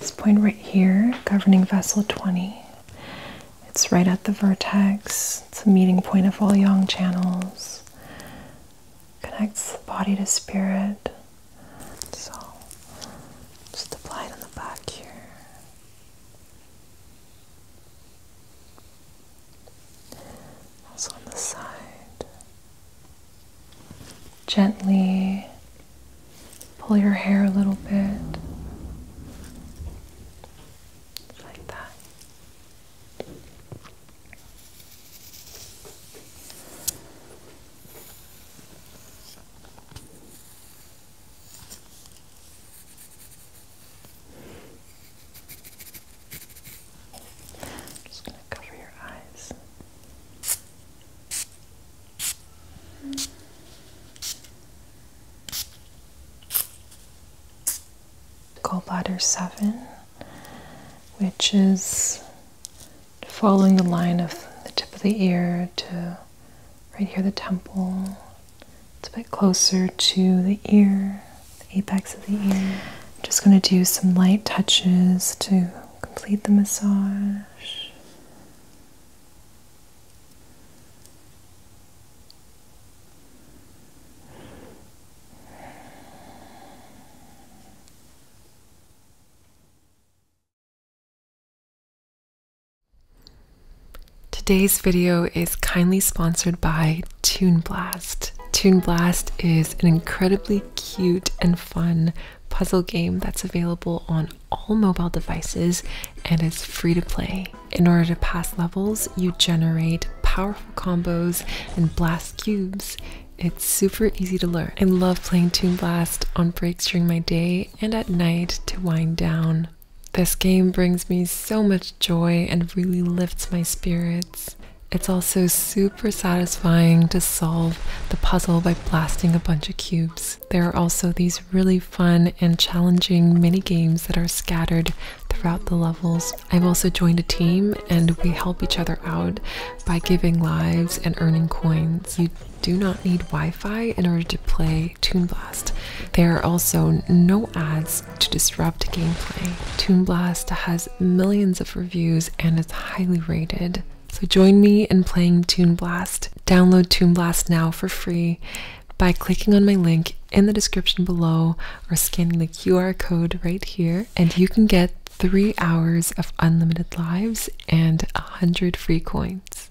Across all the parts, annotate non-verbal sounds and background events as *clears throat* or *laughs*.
This point right here, governing vessel 20, it's right at the vertex, it's a meeting point of all yang channels, connects body to spirit. So just apply it on the back here. Also on the side. Gently pull your hair a little bit. Like that. I'm just going to cover your eyes. Gallbladder 7, which is following the line of the tip of the ear to right here, the temple. It's a bit closer to the ear, the apex of the ear. I'm just going to do some light touches to complete the massage. Today's video is kindly sponsored by Tune Blast. Tune Blast is an incredibly cute and fun puzzle game that's available on all mobile devices and is free to play. In order to pass levels, you generate powerful combos and blast cubes. It's super easy to learn. I love playing Tune Blast on breaks during my day and at night to wind down. This game brings me so much joy and really lifts my spirits. It's also super satisfying to solve the puzzle by blasting a bunch of cubes. There are also these really fun and challenging mini games that are scattered throughout the levels. I've also joined a team and we help each other out by giving lives and earning coins do not need Wi Fi in order to play Toon Blast. There are also no ads to disrupt gameplay. Toon Blast has millions of reviews and is highly rated. So join me in playing Toon Blast. Download Toon Blast now for free by clicking on my link in the description below or scanning the QR code right here, and you can get three hours of unlimited lives and 100 free coins.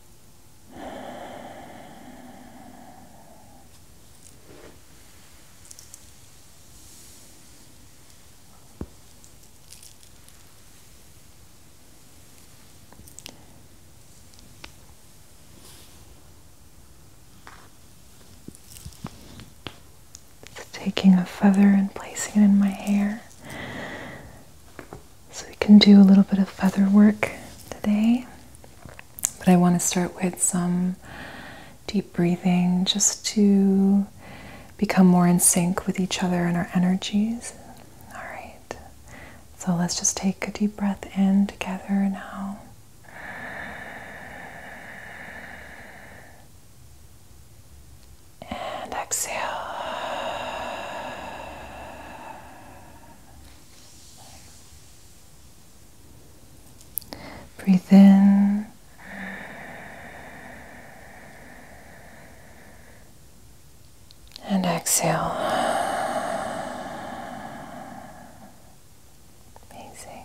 Just taking a feather and placing it in my hair. So we can do a little bit of feather work today. But I want to start with some deep breathing just to become more in sync with each other and our energies. All right. So let's just take a deep breath in together now. And exhale. Breathe in. And exhale. Amazing.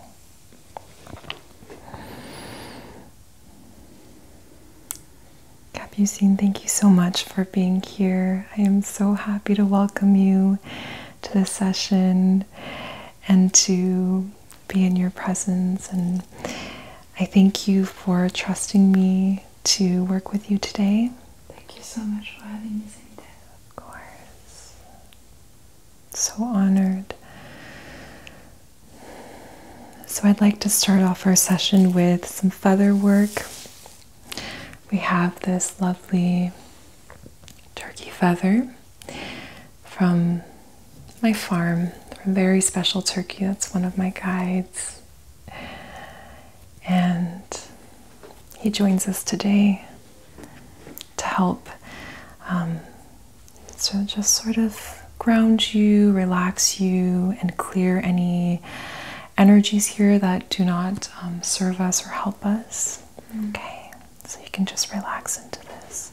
Abusine, thank you so much for being here. I am so happy to welcome you to this session and to be in your presence. And I thank you for trusting me to work with you today. Thank you so much for having me, Sanita. Of course. So honored. So, I'd like to start off our session with some feather work. We have this lovely turkey feather from my farm, a very special turkey. That's one of my guides. And he joins us today to help um, so just sort of ground you, relax you, and clear any energies here that do not um, serve us or help us. Mm. Okay, so you can just relax into this.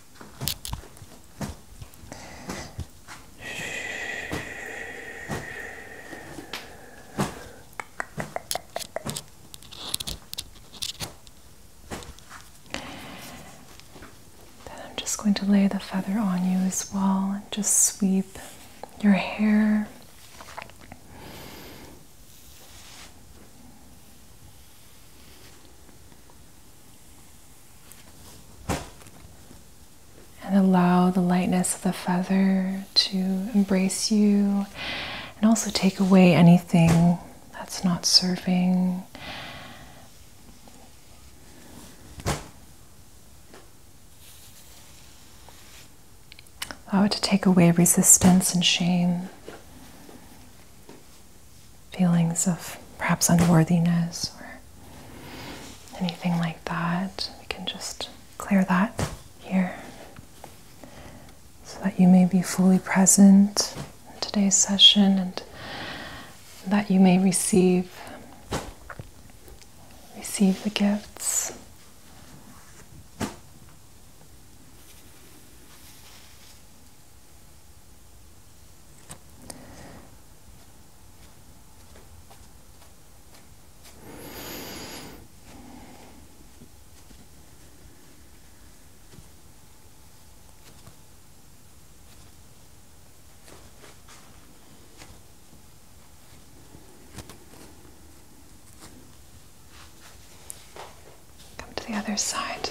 Then I'm just going to lay the feather on you as well and just sweep your hair. And allow the lightness of the feather to embrace you and also take away anything that's not serving. Allow it to take away resistance and shame feelings of perhaps unworthiness or anything like that, we can just clear that here so that you may be fully present in today's session and that you may receive receive the gifts Come to the other side.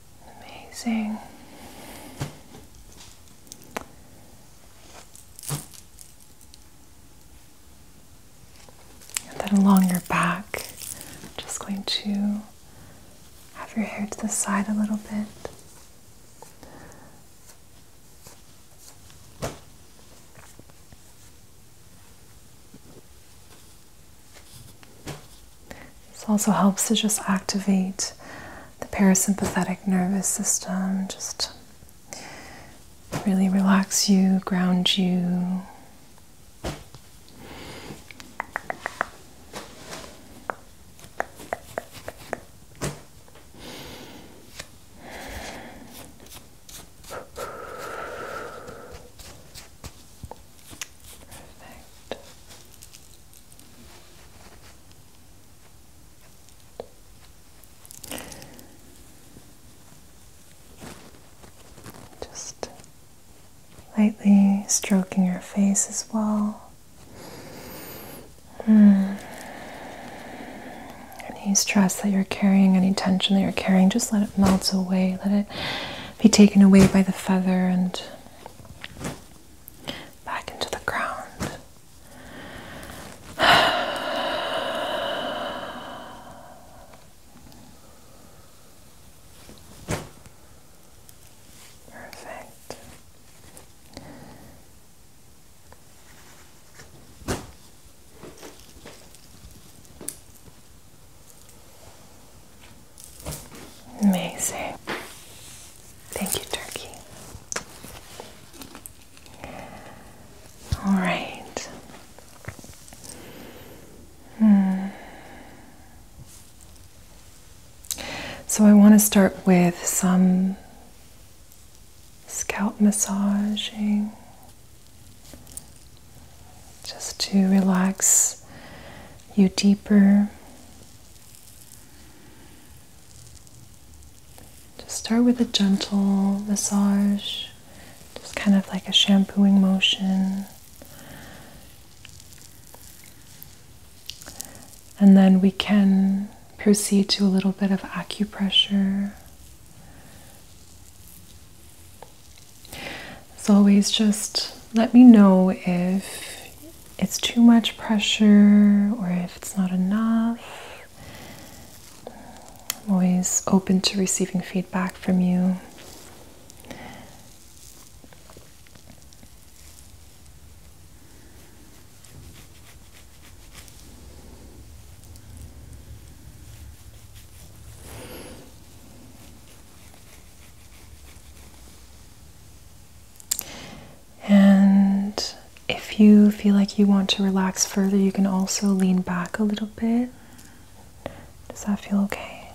Amazing. And then along your back, just going to have your hair to the side a little bit. This also helps to just activate the parasympathetic nervous system, just really relax you, ground you. Just lightly stroking your face as well. Hmm. Any stress that you're carrying, any tension that you're carrying, just let it melt away. Let it be taken away by the feather and back into the ground. Perfect. Amazing. Thank you, Turkey. All right. Hmm. So I want to start with some scalp massaging just to relax you deeper. Just start with a gentle massage, just kind of like a shampooing motion. And then we can proceed to a little bit of acupressure. As always, just let me know if it's too much pressure or if it's not enough. I'm always open to receiving feedback from you. And if you feel like you want to relax further, you can also lean back a little bit. Does that feel okay?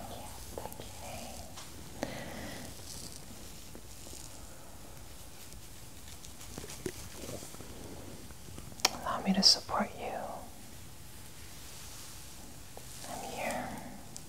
Allow me to support you. I'm here.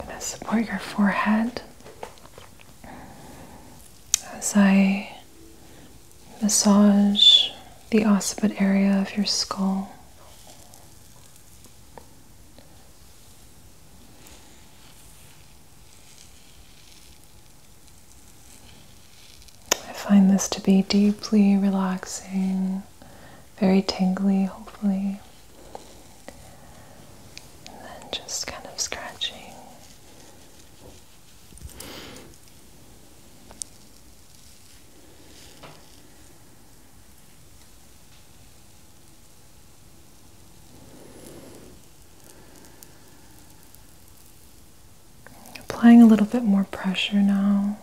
I'm going to support your forehead as I massage the occiput area of your skull. I find this to be deeply relaxing, very tingly, hopefully and then just kind of scratching. Applying a little bit more pressure now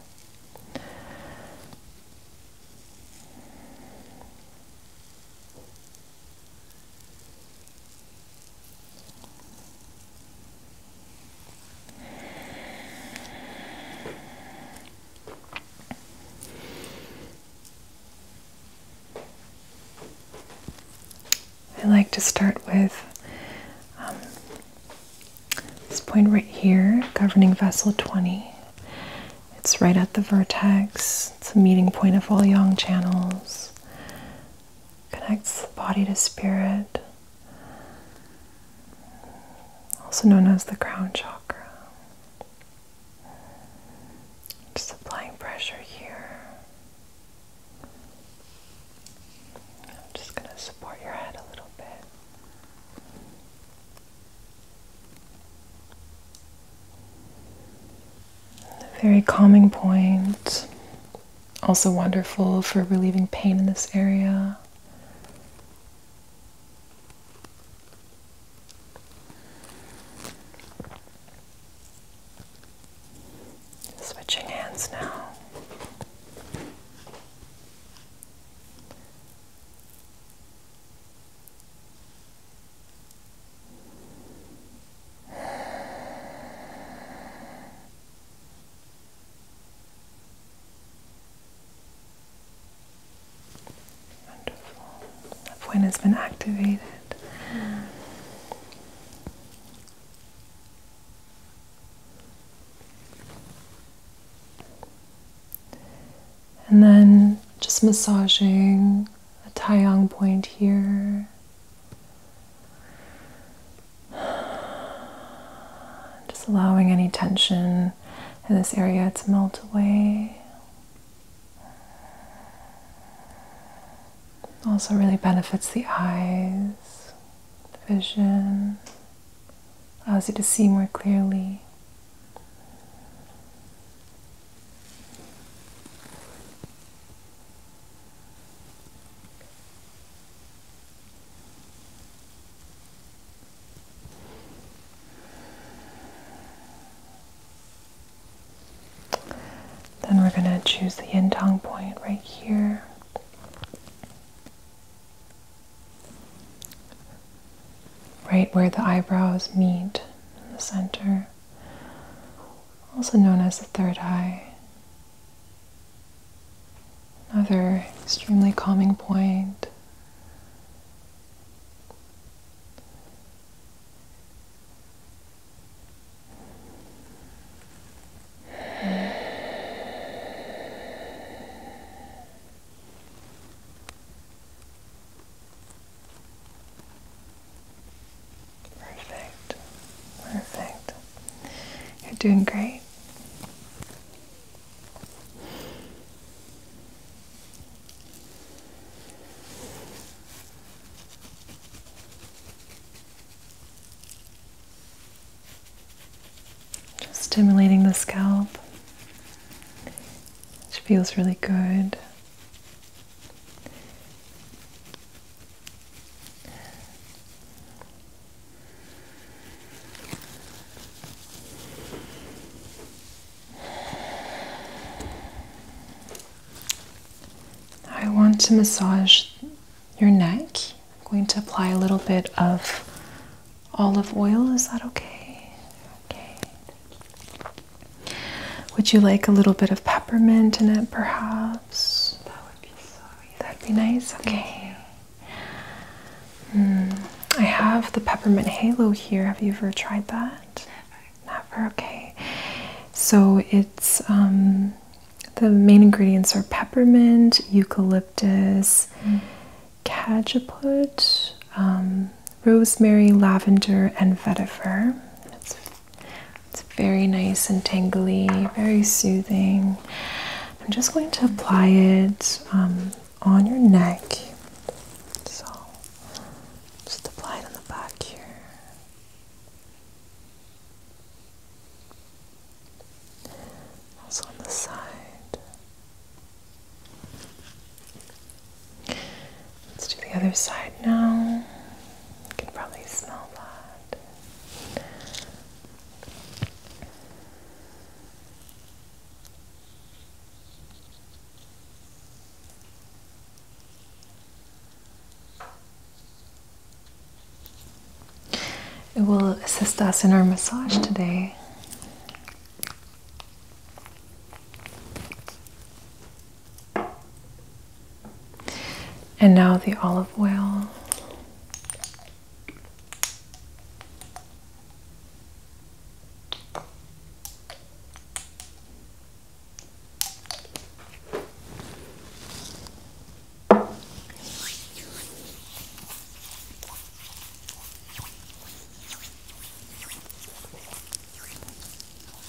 I like to start with um, this point right here, governing vessel 20, it's right at the vertex. It's a meeting point of all yang channels. Connects the body to spirit. Also known as the crown chakra. Just applying pressure here. I'm just going to support your head a little bit very calming point, also wonderful for relieving pain in this area. Switching hands now. Wonderful. That point has been activated. And then just massaging a Taiyang point here. Just allowing any tension in this area to melt away. Also, really benefits the eyes, the vision, allows you to see more clearly. Then we're going to choose the yin point right here right where the eyebrows meet in the center, also known as the third eye. Another extremely calming point. Perfect. Perfect. You're doing great. Just stimulating the scalp, which feels really good. I want to massage your neck. I'm going to apply a little bit of olive oil. Is that okay? Would you like a little bit of peppermint in it, perhaps? That would be nice. Okay. Hmm, I have the peppermint halo here. Have you ever tried that? Never. Okay. So it's um, the main ingredients are peppermint, eucalyptus, mm. Um, rosemary, lavender, and vetiver. It's, it's very nice and tangly, very soothing. I'm just going to apply it um, on your neck. So just apply it on the back here. Also on the side. Let's do the other side now. You can probably smell that. It will assist us in our massage today. And now the olive oil.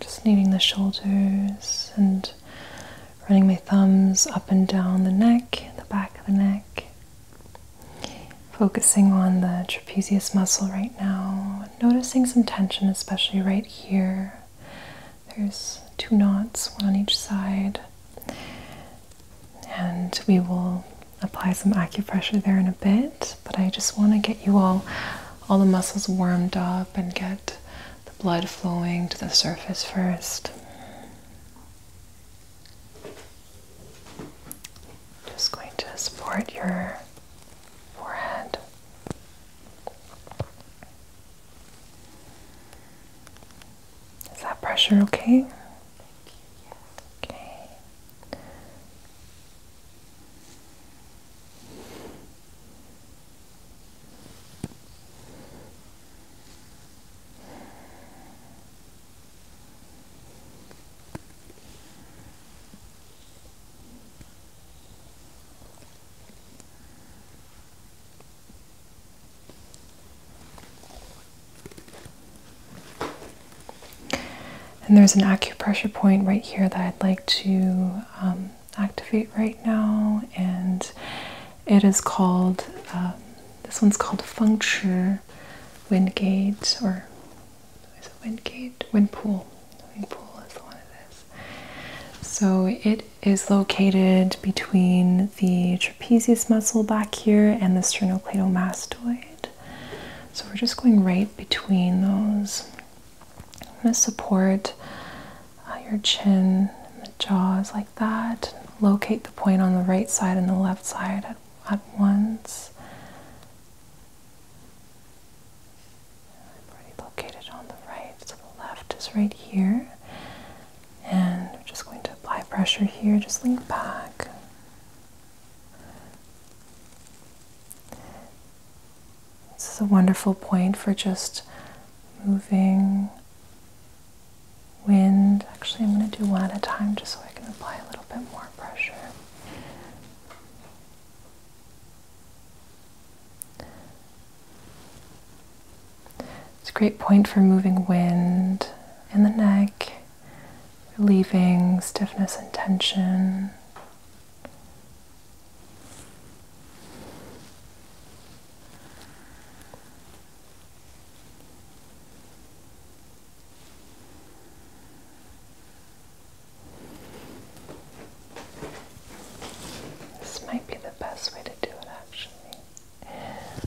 Just kneading the shoulders and running my thumbs up and down the neck, the back of the neck. Focusing on the trapezius muscle right now. Noticing some tension, especially right here. There's two knots, one on each side. And we will apply some acupressure there in a bit, but I just want to get you all all the muscles warmed up and get the blood flowing to the surface first. Just going to support your forehead. Is that pressure Okay. And there's an acupressure point right here that I'd like to um, activate right now, and it is called um, this one's called Feng Shui Wind Gate or is it Wind Gate? Wind Pool. Wind Pool is the one of this. So it is located between the trapezius muscle back here and the sternocleidomastoid. So we're just going right between those. I'm going to support uh, your chin, the jaws like that. Locate the point on the right side and the left side at, at once. I've already located on the right, so the left is right here. And I'm just going to apply pressure here, just lean back. This is a wonderful point for just moving wind. Actually, I'm going to do one at a time just so I can apply a little bit more pressure. It's a great point for moving wind in the neck, relieving stiffness and tension. This might be the best way to do it actually. Yes.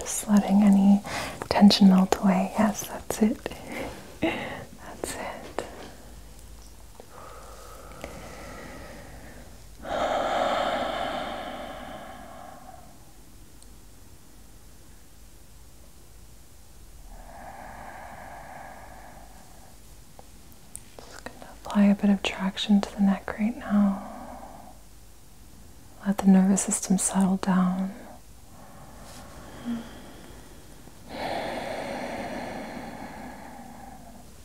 Just letting any tension melt away. Yes, that's it. *laughs* that's it. Just going to apply a bit of traction to the neck right now. Let the nervous system settle down.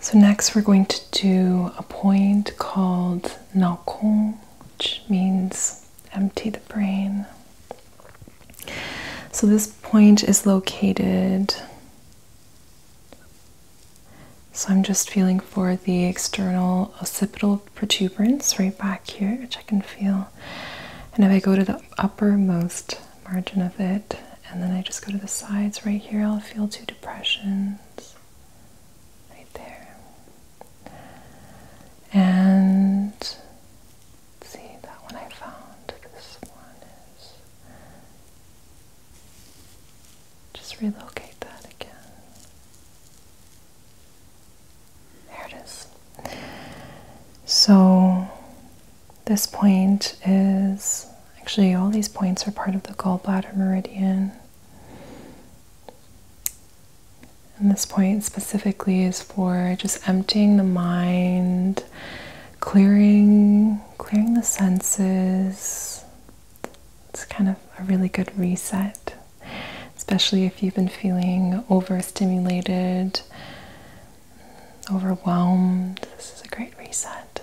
So, next we're going to do a point called Na Kong, which means empty the brain. So, this point is located. So, I'm just feeling for the external occipital protuberance right back here, which I can feel. And if I go to the uppermost margin of it, and then I just go to the sides right here. I'll feel two depressions right there. And see that one I found. This one is just relocate that again. There it is. So this point is actually all these points are part of the gallbladder meridian. And this point specifically is for just emptying the mind, clearing clearing the senses. It's kind of a really good reset, especially if you've been feeling overstimulated, overwhelmed. This is a great reset.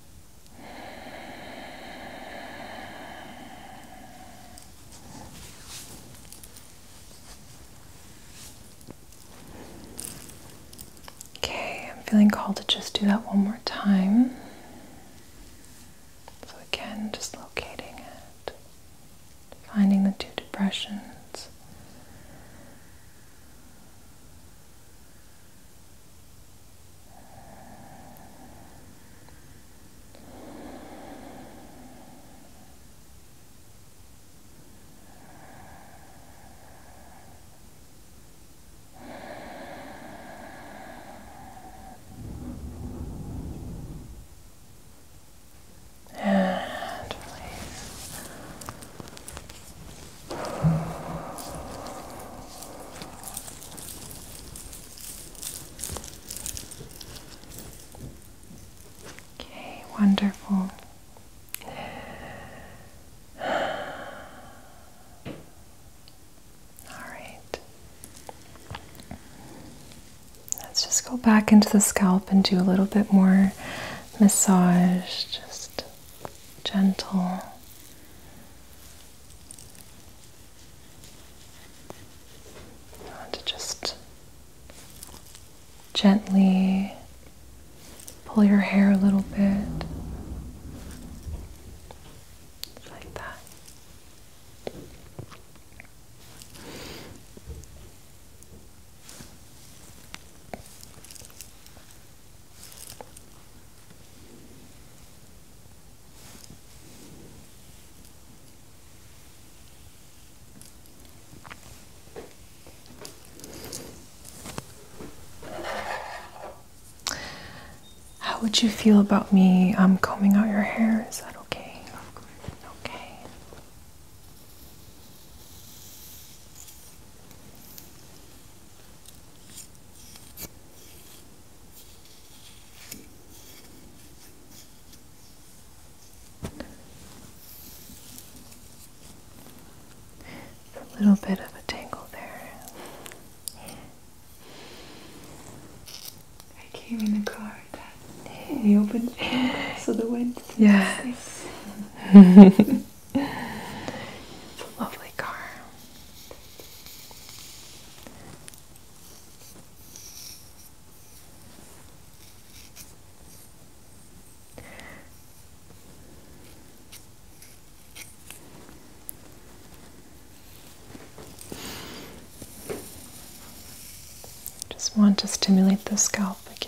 Okay, I'm feeling called to just do that one more time. So, again, just locating it, finding the two depressions. And release. Okay, wonderful. All right. Let's just go back into the scalp and do a little bit more massage. Just gentle. I want to just gently pull your hair a little bit. Like that. How would you feel about me um, combing out your hair? Is that okay? Of course. Okay a little bit of a tangle there. I came in a car that in *laughs* so the wind. Yes. *laughs* *laughs* it's a lovely car. Just want to stimulate the scalp again.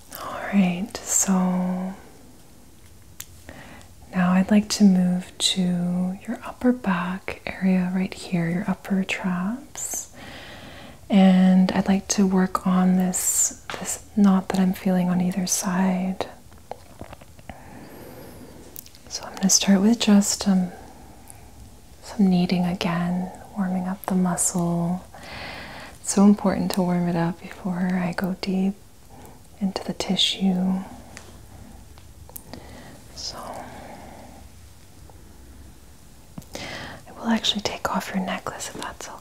All right, so now I'd like to move to your upper back area right here, your upper traps. And I'd like to work on this this knot that I'm feeling on either side. So I'm going to start with just um, some kneading again, warming up the muscle. It's so important to warm it up before I go deep into the tissue. So, I will actually take off your necklace if that's okay.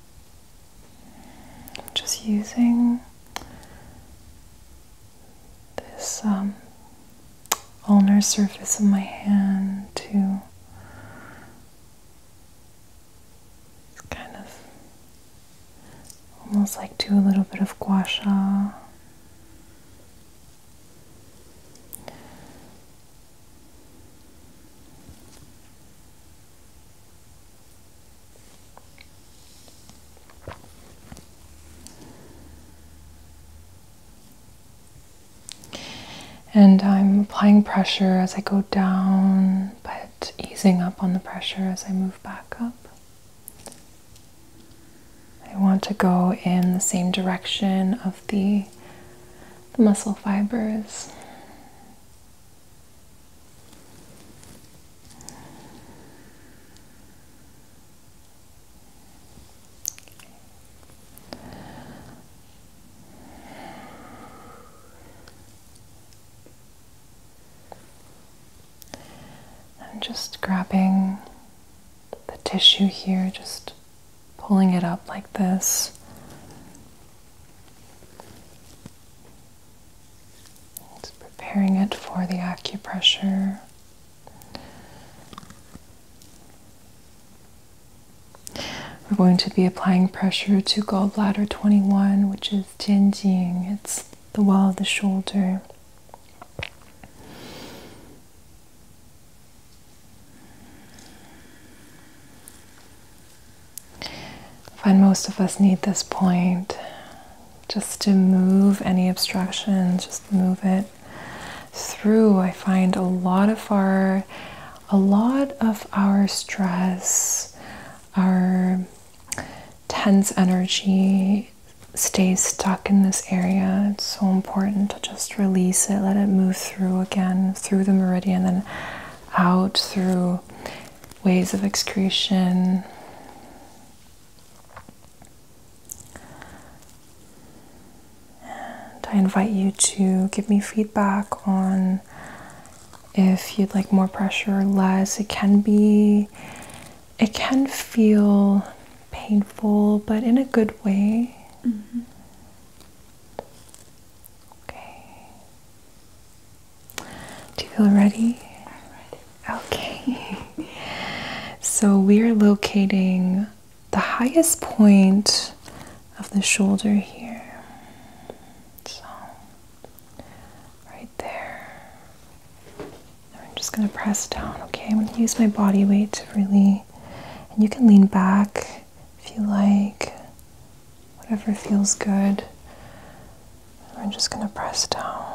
I'm Just using this um, ulnar surface of my hand to kind of almost like do a little bit of gua sha. And I'm applying pressure as I go down, but easing up on the pressure as I move back up. I want to go in the same direction of the, muscle fibers. I'm just grabbing the tissue here, just pulling it up like this. It's preparing it for the acupressure. We're going to be applying pressure to gallbladder 21, which is Tianjing. It's the wall of the shoulder. I find most of us need this point just to move any obstruction, just move it through. I find a lot of our a lot of our stress, our tense energy stays stuck in this area. It's so important to just release it, let it move through again, through the meridian, then out through ways of excretion. And I invite you to give me feedback on if you'd like more pressure or less. It can be, it can feel painful, but in a good way. Mm-hmm. Okay. Do you feel ready? I'm ready. Okay. *laughs* so we're locating the highest point of the shoulder here. So, right there. I'm just going to press down, okay? I'm going to use my body weight to really, and you can lean back if you like, whatever feels good. We're just going to press down.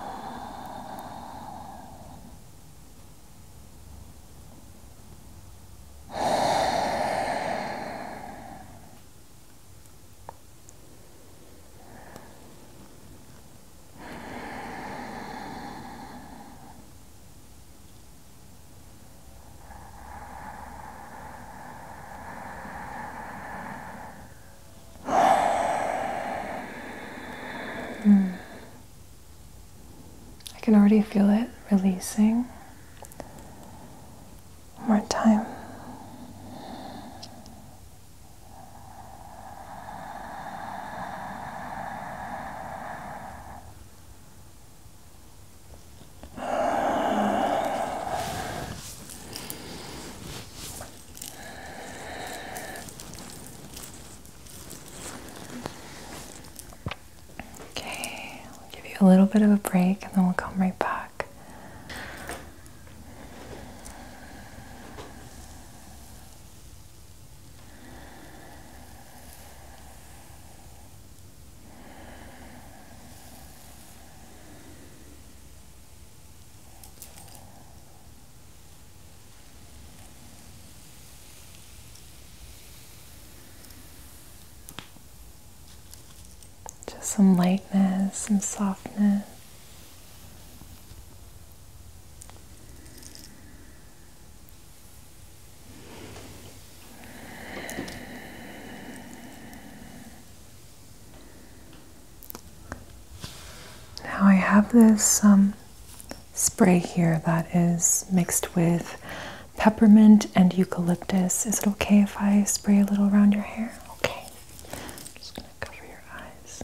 Hmm. I can already feel it releasing. more time. Okay, we'll give you a little bit of a break and then we'll come right back. Just some lightness, some softness. Now I have this um, spray here that is mixed with peppermint and eucalyptus. Is it okay if I spray a little around your hair? Okay. I'm just going to cover your eyes.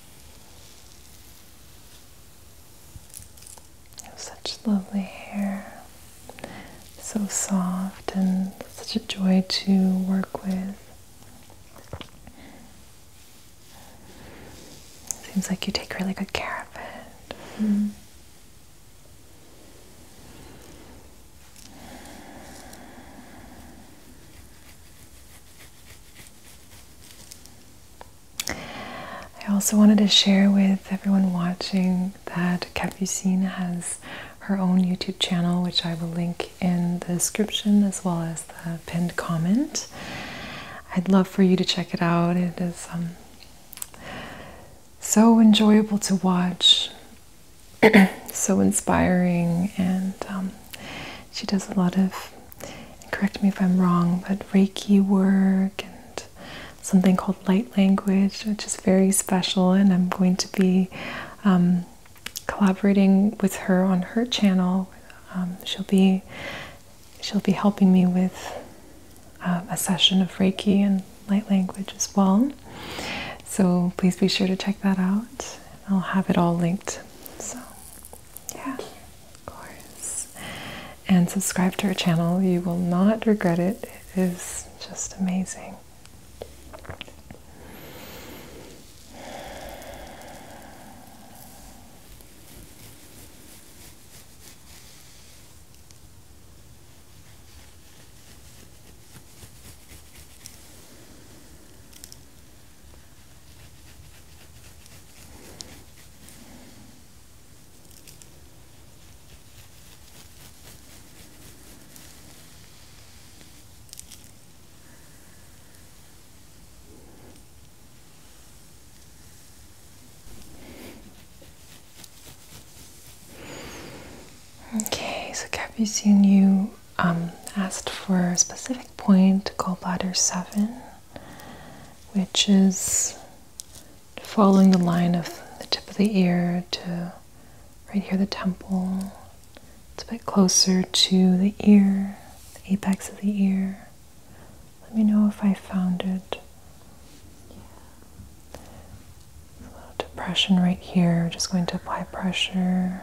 You have such lovely hair, so soft and such a joy to work with. Seems like you take really good care of it. Mm-hmm. I also wanted to share with everyone watching that Capucine has her own YouTube channel, which I will link in the description as well as the pinned comment. I'd love for you to check it out. It is um, so enjoyable to watch, *clears throat* so inspiring, and um, she does a lot of, correct me if I'm wrong, but Reiki work and something called light language, which is very special. And I'm going to be um, collaborating with her on her channel. Um, she'll be she'll be helping me with uh, a session of Reiki and light language as well. So please be sure to check that out. I'll have it all linked. So. Yeah, of course. And subscribe to our channel. You will not regret it. It is just amazing. Okay, so Capucine, you um, asked for a specific point, called Bladder 7, which is following the line of the tip of the ear to right here, the temple. It's a bit closer to the ear, the apex of the ear. Let me know if I found it. A little depression right here. We're just going to apply pressure.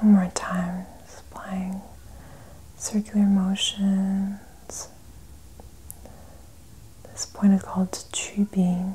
One more time, just applying circular motions. This point is called Chu Being.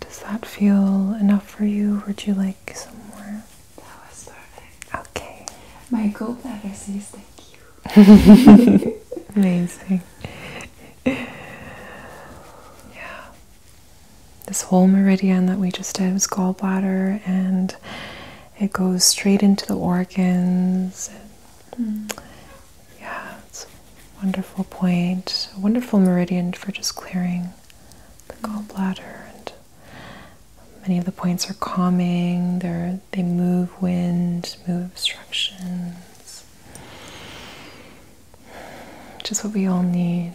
Does that feel enough for you? Would you like some more? That was perfect. Okay. My gallbladder says thank you. *laughs* Amazing. Yeah. This whole meridian that we just did was gallbladder and it goes straight into the organs. Mm. Yeah, it's a wonderful point, a wonderful meridian for just clearing the gallbladder, and many of the points are calming. they they move wind, move obstructions. Just what we all need.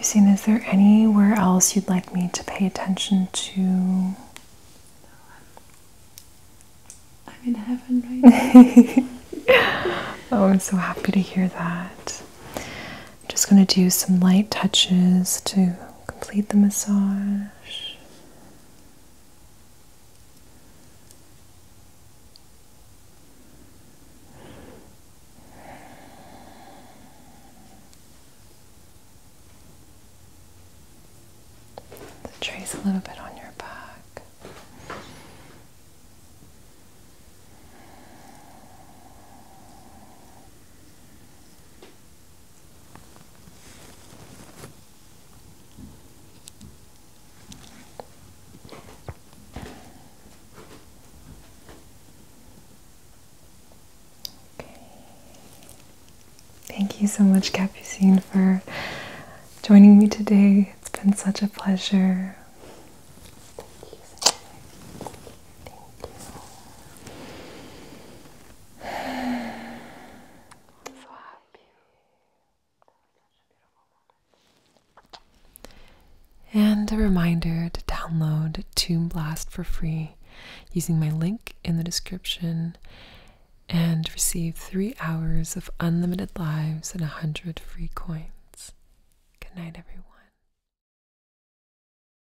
seen. is there anywhere else you'd like me to pay attention to? No, I'm, I'm in heaven right *laughs* now. oh, I'm so happy to hear that. I'm just going to do some light touches to complete the massage. trace a little bit on your back. Thank you so much, Capucine, for joining me today. It's been such a pleasure. And a reminder to download Tomb Blast for free using my link in the description and receive three hours of unlimited lives and a 100 free coins. Good night, everyone.